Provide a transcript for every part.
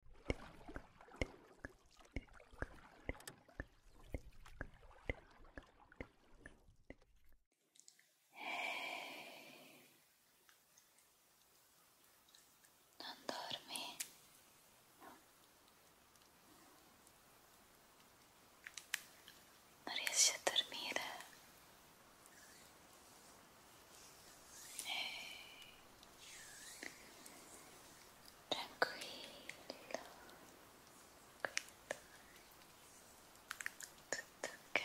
Ehi, non dormi? Non riesci a dormire? tranquillo tutto ok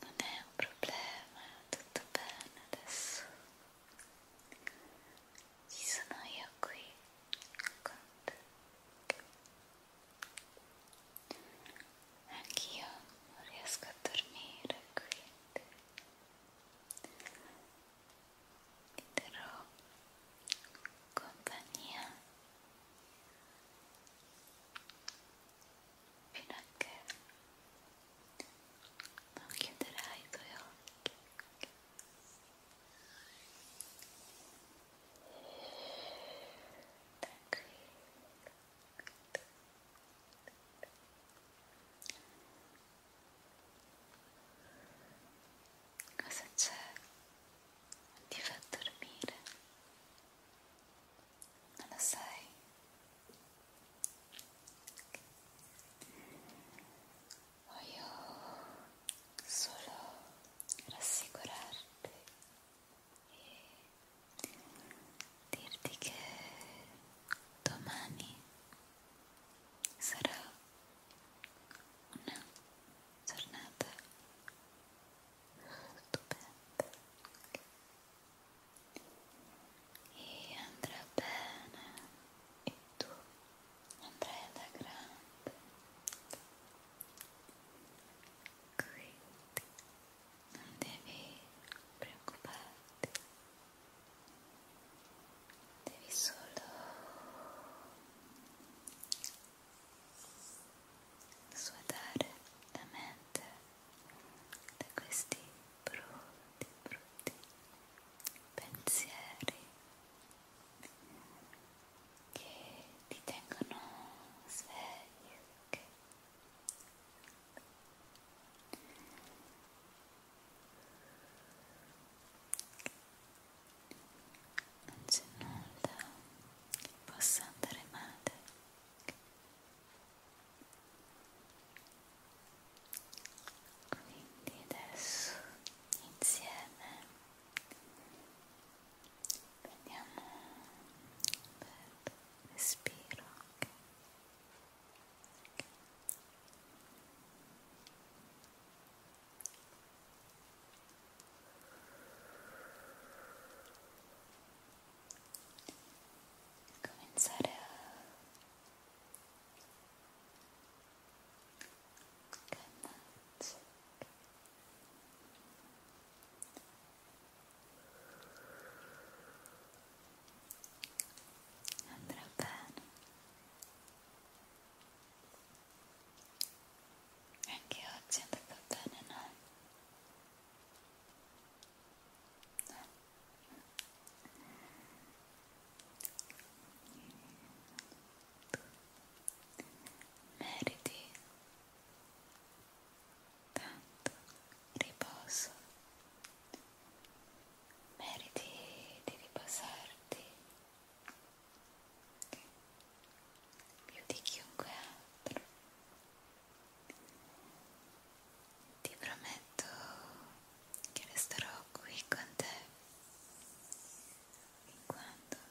non è un problema tutto bene adesso ci sono io qui con te Anch'io non riesco a dormire, quindi ti darò compagnia fino a che non chiuderai i tuoi occhi. Cosa c'è? Ti fa dormire? Non lo sai? Voglio solo rassicurarti e dirti che domani sarà una giornata stupenda e andrà bene e tu andrai da grande Great. Non devi preoccuparti. Devi solo svuotare la mente da questi brutti, brutti pensieri che ti tengono svegli, ok? Non c'è nulla che possa andare male. Quindi adesso insieme prendiamo un bel respiro okay. Okay. cominciare a calmarci andrà bene anche oggi andrà bene no? no? meriti tanto riposo meriti di riposarti più di chiunque altro ti prometto che resterò qui con te fin quando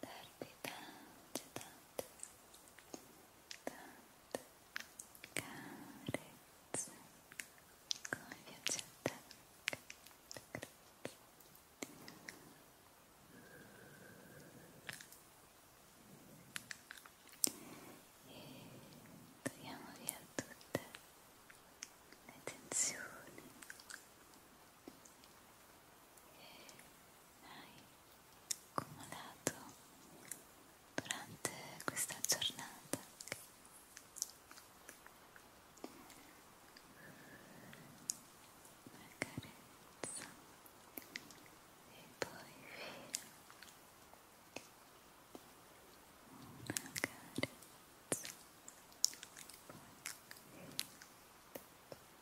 darti tante, tante, tante carezze come piace a te e togliamo via tutte le tensioni, hai accumulato durante questa giornata una carezza e poi via una carezza e poi via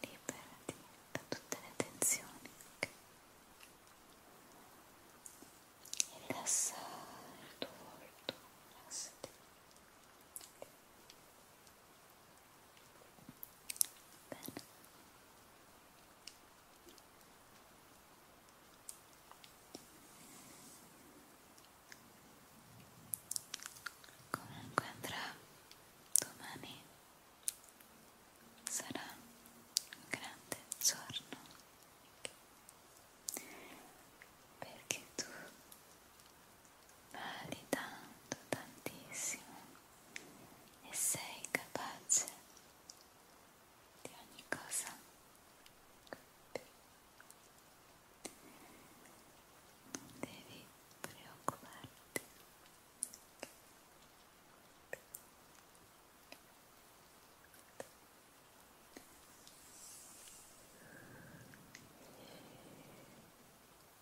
liberati da tutte le tensioni okay? e rilassa il tuo volto rilassati Bene. Comunque andrà domani sarà un grande giorno perché tu vali tanto, tantissimo e sei capace di ogni cosa. Non devi preoccuparti. Rilassati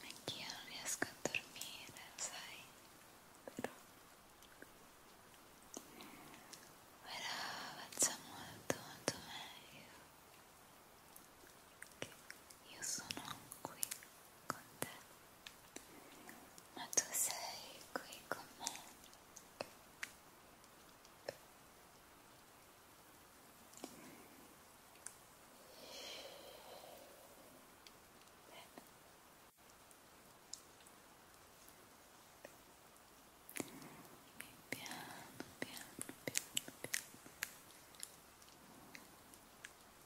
Anch'io non riesco a dormire, sai? Però, Però faccio molto molto meglio. Io sono qui contar. Ma tu sei qui con me. Piano, piano, piano, piano.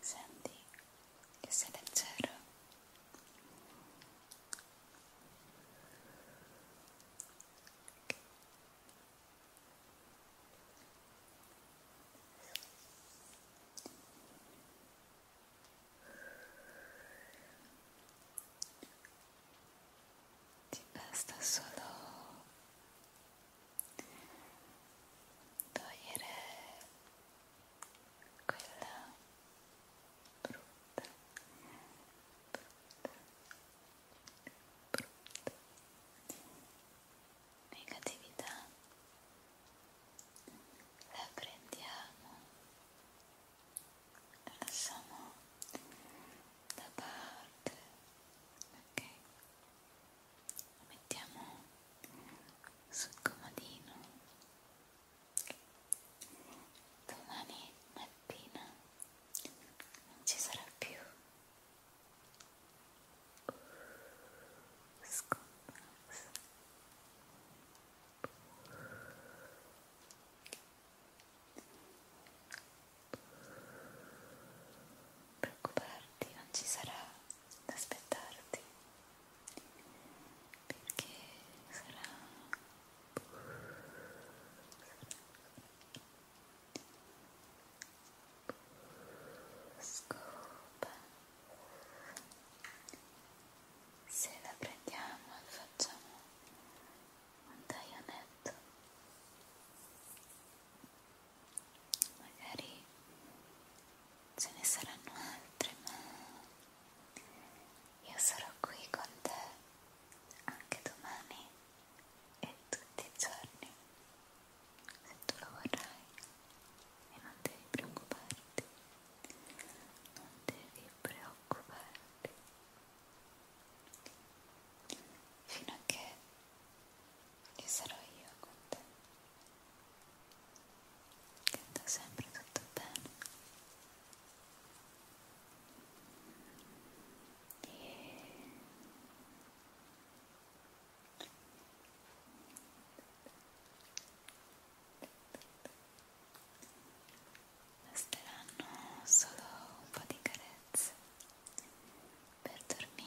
senti che sei leggero ti basta solo togliere quella brutta, brutta, brutta negatività la prendiamo, la lasciamo da parte, ok? lo mettiamo sul comodino domani mattina non ci sarà più scomparsa preoccuparti non ci sarà da aspettarti perché sarà scopa se la prendiamo e facciamo un taglionetto magari ce ne saranno altre, ma io sarò qui con te anche domani e tutti i giorni, se tu lo vorrai e non devi preoccuparti, non devi preoccuparti fino a che e sarò io con te che andrà sempre tutto bene e... Basteranno solo un po' di carezze per dormire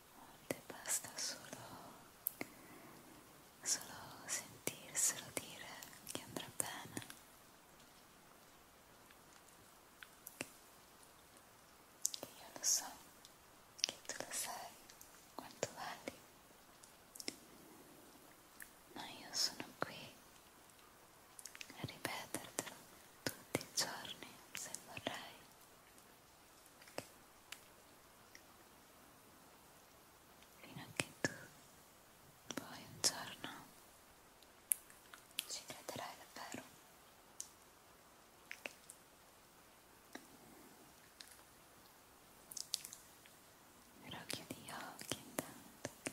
volte basta solo, solo sentirselo dire che andrà bene. Che io lo so, che tu lo sai, quanto vali. Ma io sono qui a ripetertelo tutti i giorni se vorrai fino a che tu poi un giorno ci crederai davvero però chiudi gli occhi intanto che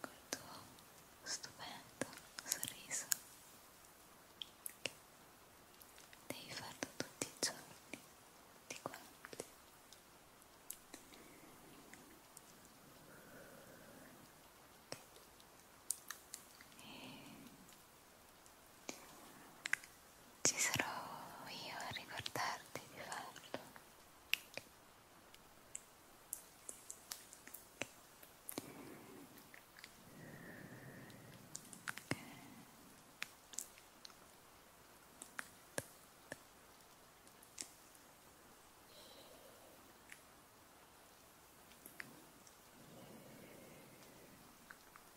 col tuo stupendo sorriso che devi farlo tutti i giorni di quanti e ci sarò io a ricordarti di farlo. Okay.